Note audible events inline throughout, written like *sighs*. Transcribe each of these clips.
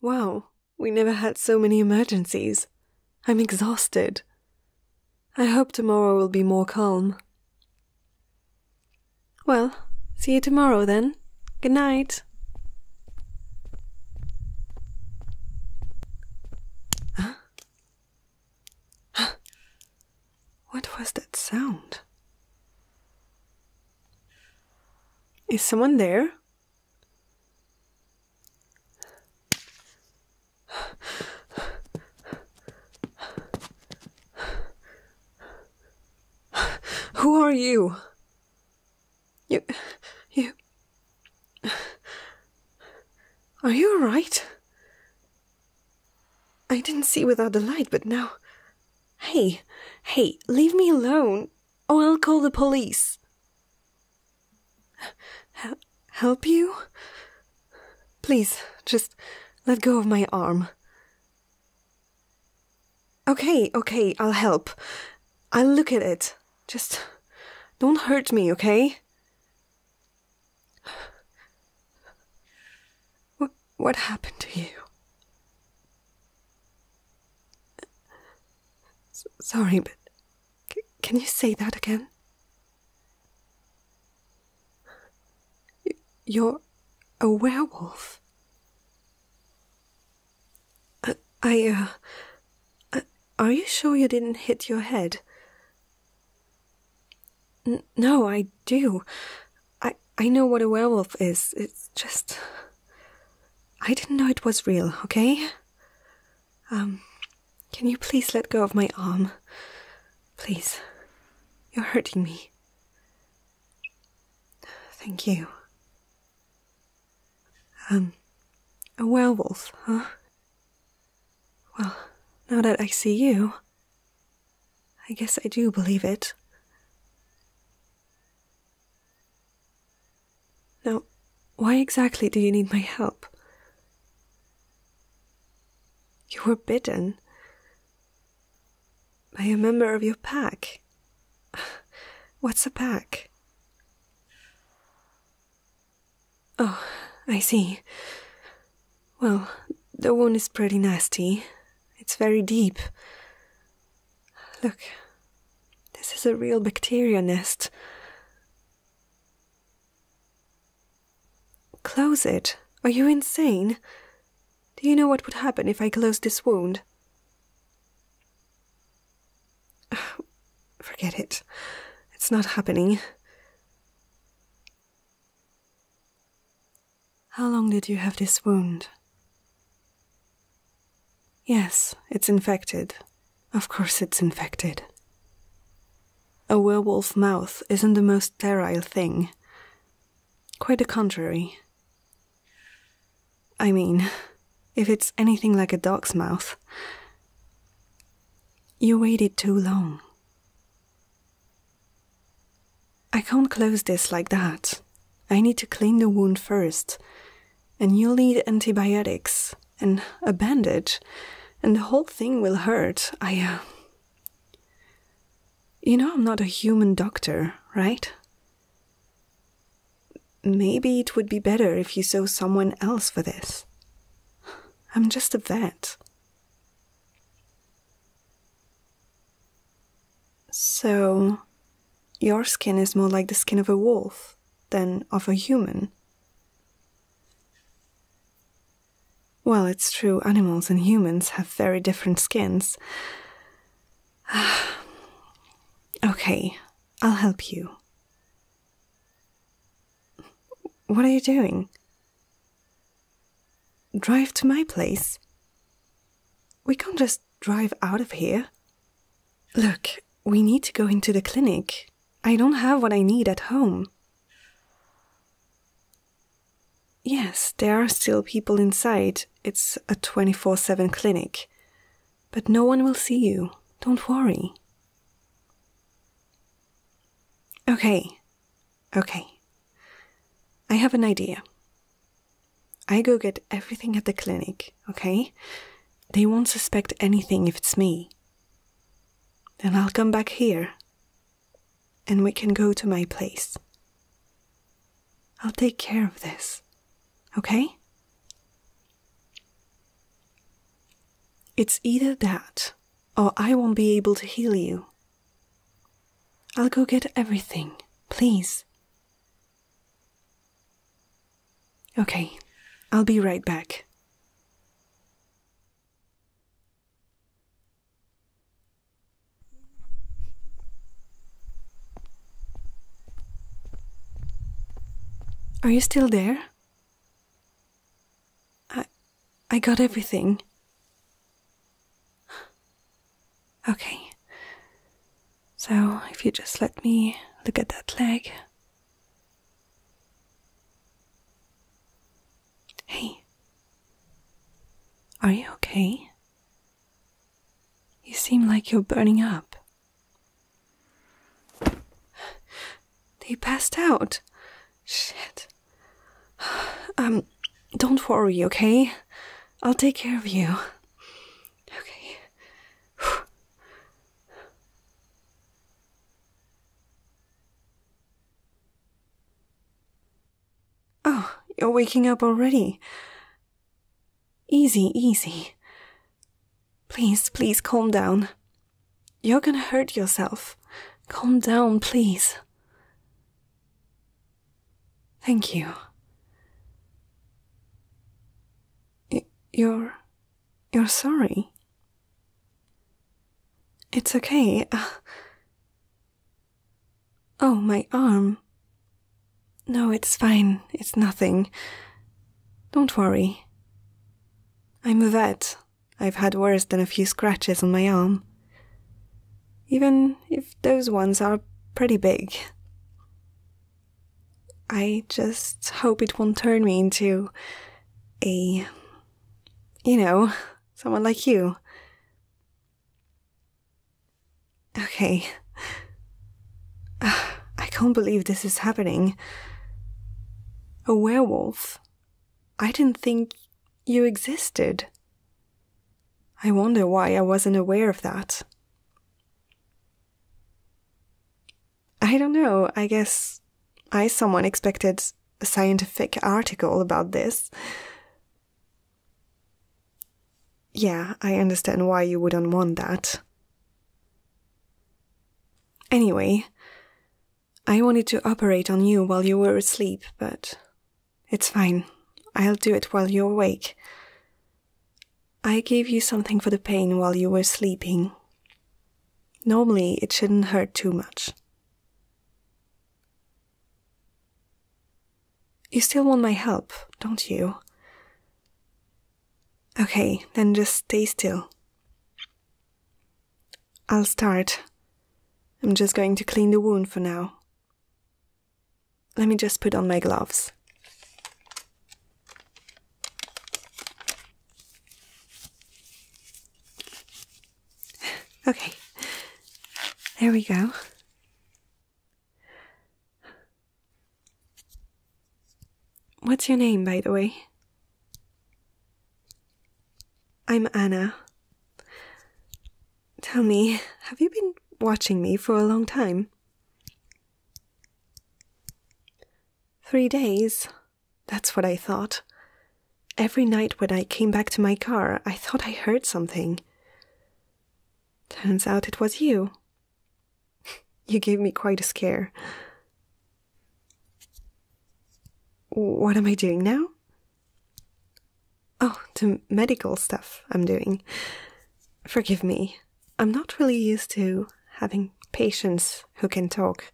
Wow, we never had so many emergencies. I'm exhausted. I hope tomorrow will be more calm. Well, see you tomorrow then. Good night. Huh? *gasps* Huh? What was that sound? Is someone there? Who are you? You. You. Are you alright? I didn't see without the light, but now. Hey, hey, leave me alone. Oh, I'll call the police. help you? Please, just let go of my arm. Okay, okay, I'll help. I'll look at it. Just don't hurt me, okay? What happened to you? sorry, but can you say that again? you're a werewolf. Uh, I, Are you sure you didn't hit your head? no, I do. I, I know what a werewolf is. It's just. I didn't know it was real, okay? Um, can you please let go of my arm? Please. You're hurting me. Thank you. Um, a werewolf, huh? Well, now that I see you, I guess I do believe it. Now, why exactly do you need my help? You were bidden by a member of your pack. *sighs* What's a pack? Oh, I see. Well, the wound is pretty nasty. It's very deep. Look, this is a real bacteria nest. Close it. Are you insane? Do you know what would happen if I closed this wound? *sighs* forget it. It's not happening. How long did you have this wound? Yes, it's infected. Of course, it's infected. A werewolf mouth isn't the most sterile thing. Quite the contrary. I mean, if it's anything like a dog's mouth. You waited too long. I can't close this like that. I need to clean the wound first and you'll need antibiotics and a bandage, and the whole thing will hurt. I. Uh... You know, I'm not a human doctor, right? Maybe it would be better if you saw someone else for this. I'm just a vet. So, your skin is more like the skin of a wolf than of a human. Well, it's true, animals and humans have very different skins. *sighs* okay, I'll help you. What are you doing? Drive to my place. We can't just drive out of here. Look, we need to go into the clinic. I don't have what I need at home. Yes, there are still people inside. It's a 24 7 clinic. But no one will see you. Don't worry. Okay, okay. I have an idea. I go get everything at the clinic, okay? They won't suspect anything if it's me. Then I'll come back here and we can go to my place. I'll take care of this, okay? It's either that or I won't be able to heal you. I'll go get everything, please. Okay, I'll be right back. Are you still there? I I got everything. Okay. So, if you just let me look at that leg. Hey, are you okay? You seem like you're burning up. They passed out. Shit. *sighs* Um, don't worry, okay? I'll take care of you. Okay. *sighs* oh, you're waking up already. Easy, easy. Please, please calm down. You're gonna hurt yourself. Calm down, please. Thank you. You're you're sorry. It's okay. Uh, oh, my arm. No, it's fine. It's nothing. Don't worry. I'm a vet. I've had worse than a few scratches on my arm. Even if those ones are pretty big. I just hope it won't turn me into a, you know, someone like you. Okay. Ah, I can't believe this is happening. A werewolf? I didn't think you existed. I wonder why I wasn't aware of that. I don't know, I guess I someone expected a scientific article about this. Yeah, I understand why you wouldn't want that. Anyway, I wanted to operate on you while you were asleep, but it's fine. I'll do it while you're awake. I gave you something for the pain while you were sleeping. Normally, it shouldn't hurt too much. You still want my help, don't you? Okay, then just stay still. I'll start. I'm just going to clean the wound for now. Let me just put on my gloves. *laughs* okay, there we go. What's your name, by the way? I'm Anna. Tell me, have you been watching me for a long time? Three days. That's what I thought. Every night when I came back to my car, I thought I heard something. Turns out it was you. *laughs* you gave me quite a scare. What am I doing now? Oh, the medical stuff I'm doing. Forgive me. I'm not really used to having patients who can talk.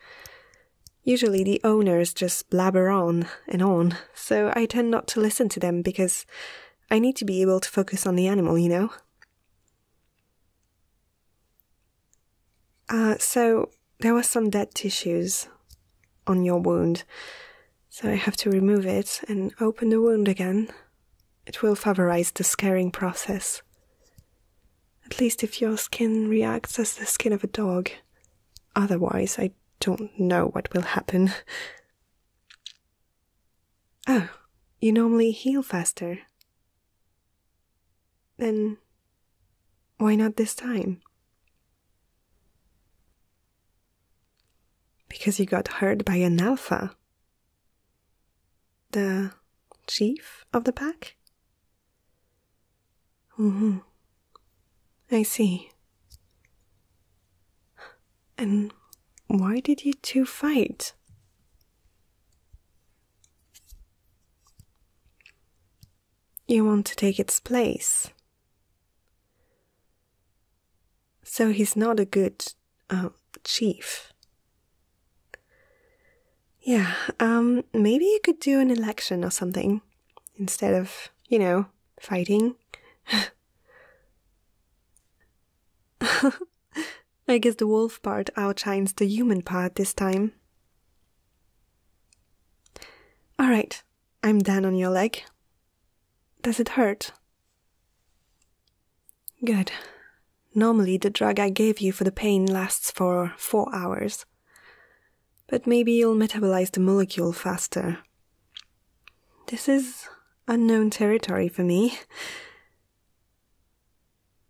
Usually the owners just blabber on and on, so I tend not to listen to them because I need to be able to focus on the animal, you know? Uh, so there were some dead tissues on your wound, so I have to remove it and open the wound again. It will favorize the scaring process. At least if your skin reacts as the skin of a dog. Otherwise, I don't know what will happen. *laughs* Oh, you normally heal faster. Then why not this time? Because you got hurt by an alpha, the chief of the pack? hmm. I see. And why did you two fight? You want to take its place. So he's not a good uh, chief. Yeah, um, maybe you could do an election or something instead of, you know, fighting. *laughs* I guess the wolf part outshines the human part this time. Alright, I'm down on your leg. Does it hurt? Good. Normally, the drug I gave you for the pain lasts for four hours. But maybe you'll metabolize the molecule faster. This is unknown territory for me.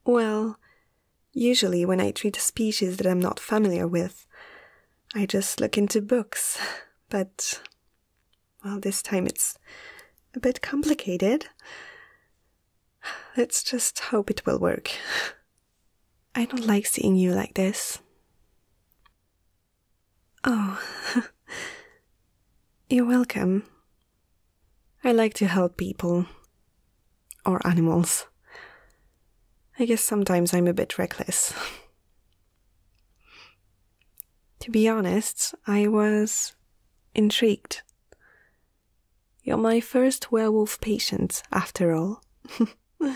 Well, usually when I treat a species that I'm not familiar with, I just look into books, but. well, this time it's a bit complicated. Let's just hope it will work. I don't like seeing you like this. Oh, *laughs* you're welcome. I like to help people. Or animals. I guess sometimes I'm a bit reckless. *laughs* to be honest, I was intrigued you're my first werewolf patient, after all. *laughs*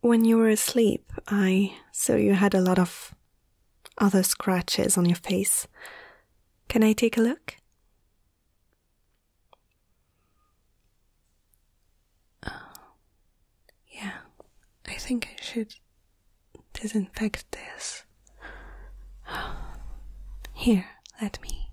when you were asleep, I saw you had a lot of other scratches on your face. Can I take a look? Uh, yeah, I think I should disinfect this. Here, let me.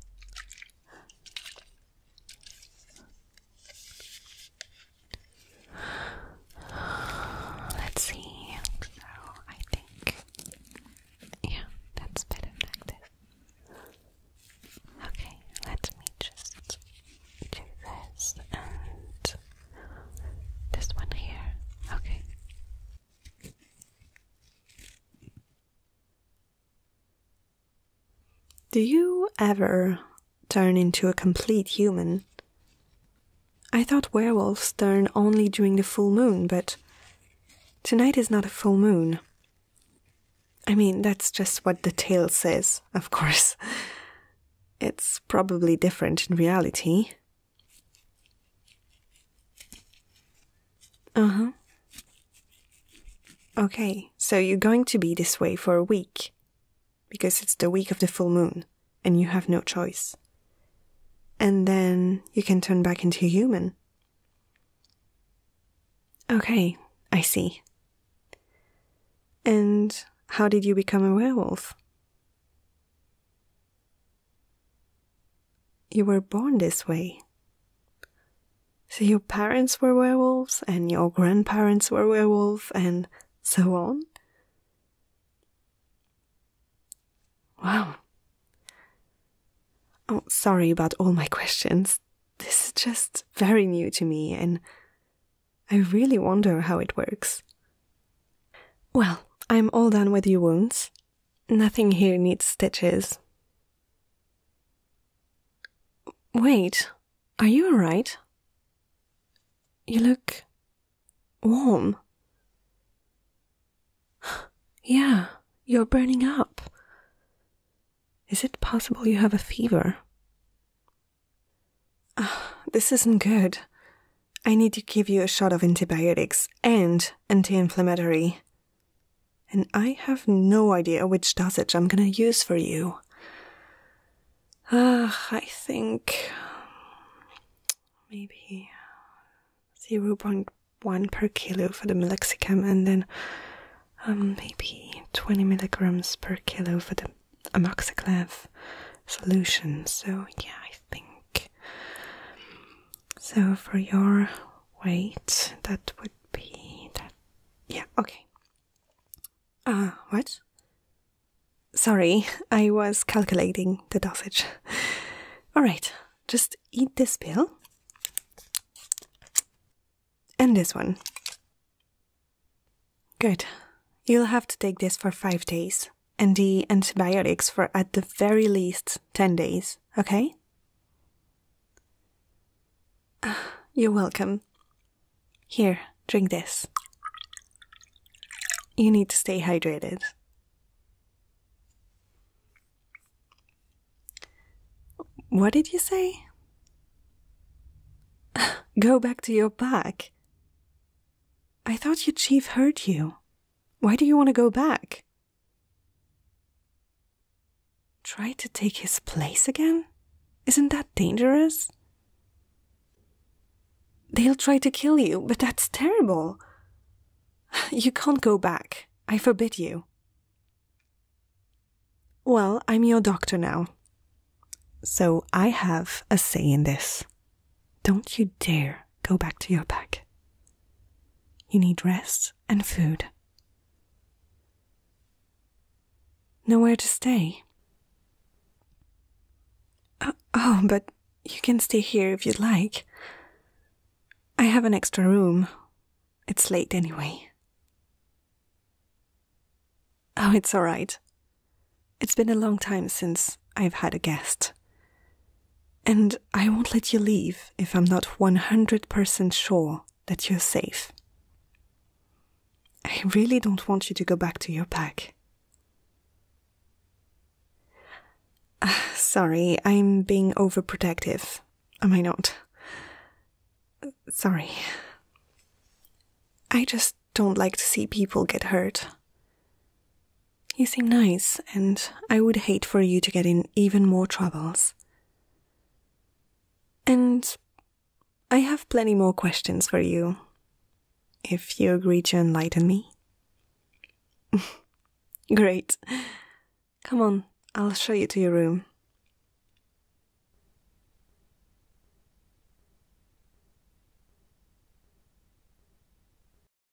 Let's see. So I think, yeah, that's better Okay, let me just do this and this one here. Okay, do you ever turn into a complete human? I thought werewolves turn only during the full moon, but tonight is not a full moon. I mean, that's just what the tale says, of course. *laughs* It's probably different in reality, uh huh. Okay, so you're going to be this way for a week because it's the week of the full moon and you have no choice. And then you can turn back into human. Okay, I see. And how did you become a werewolf? You were born this way. So your parents were werewolves, and your grandparents were werewolves, and so on. Wow. Oh, sorry about all my questions. This is just very new to me, and I really wonder how it works. Well, I'm all done with your wounds. Nothing here needs stitches. Wait, are you alright? You look warm. *gasps* yeah, you're burning up. Is it possible you have a fever? Uh, this isn't good. I need to give you a shot of antibiotics and anti inflammatory. And I have no idea which dosage I'm gonna use for you. Ah, I think maybe 0.1 per kilo for the meloxicam, and then um, maybe 20 milligrams per kilo for the amoxiclav solution. So, yeah, I think so for your weight, that would be that. Yeah, okay. Uh, what? Sorry, *laughs* I was calculating the dosage. *laughs* Alright, just eat this pill. And this one. Good. You'll have to take this for five days and the antibiotics for at the very least 10 days, okay? *sighs* You're welcome. Here, drink this. You need to stay hydrated. What did you say? *sighs* Go back to your pack. I thought your chief heard you. Why do you want to go back? Try to take his place again? Isn't that dangerous? They'll try to kill you, but that's terrible. *laughs* You can't go back. I forbid you. Well, I'm your doctor now. So I have a say in this. Don't you dare go back to your pack. You need rest and food. Nowhere to stay. Uh, oh, but you can stay here if you'd like. I have an extra room. It's late anyway. Oh, it's all right. It's been a long time since I've had a guest. And I won't let you leave if I'm not 100% sure that you're safe. I really don't want you to go back to your pack. Ah, sorry, I'm being overprotective, am I not? sorry. I just don't like to see people get hurt. You seem nice, and I would hate for you to get in even more troubles. And I have plenty more questions for you, if you agree to enlighten me. *laughs* Great. Come on, I'll show you to your room.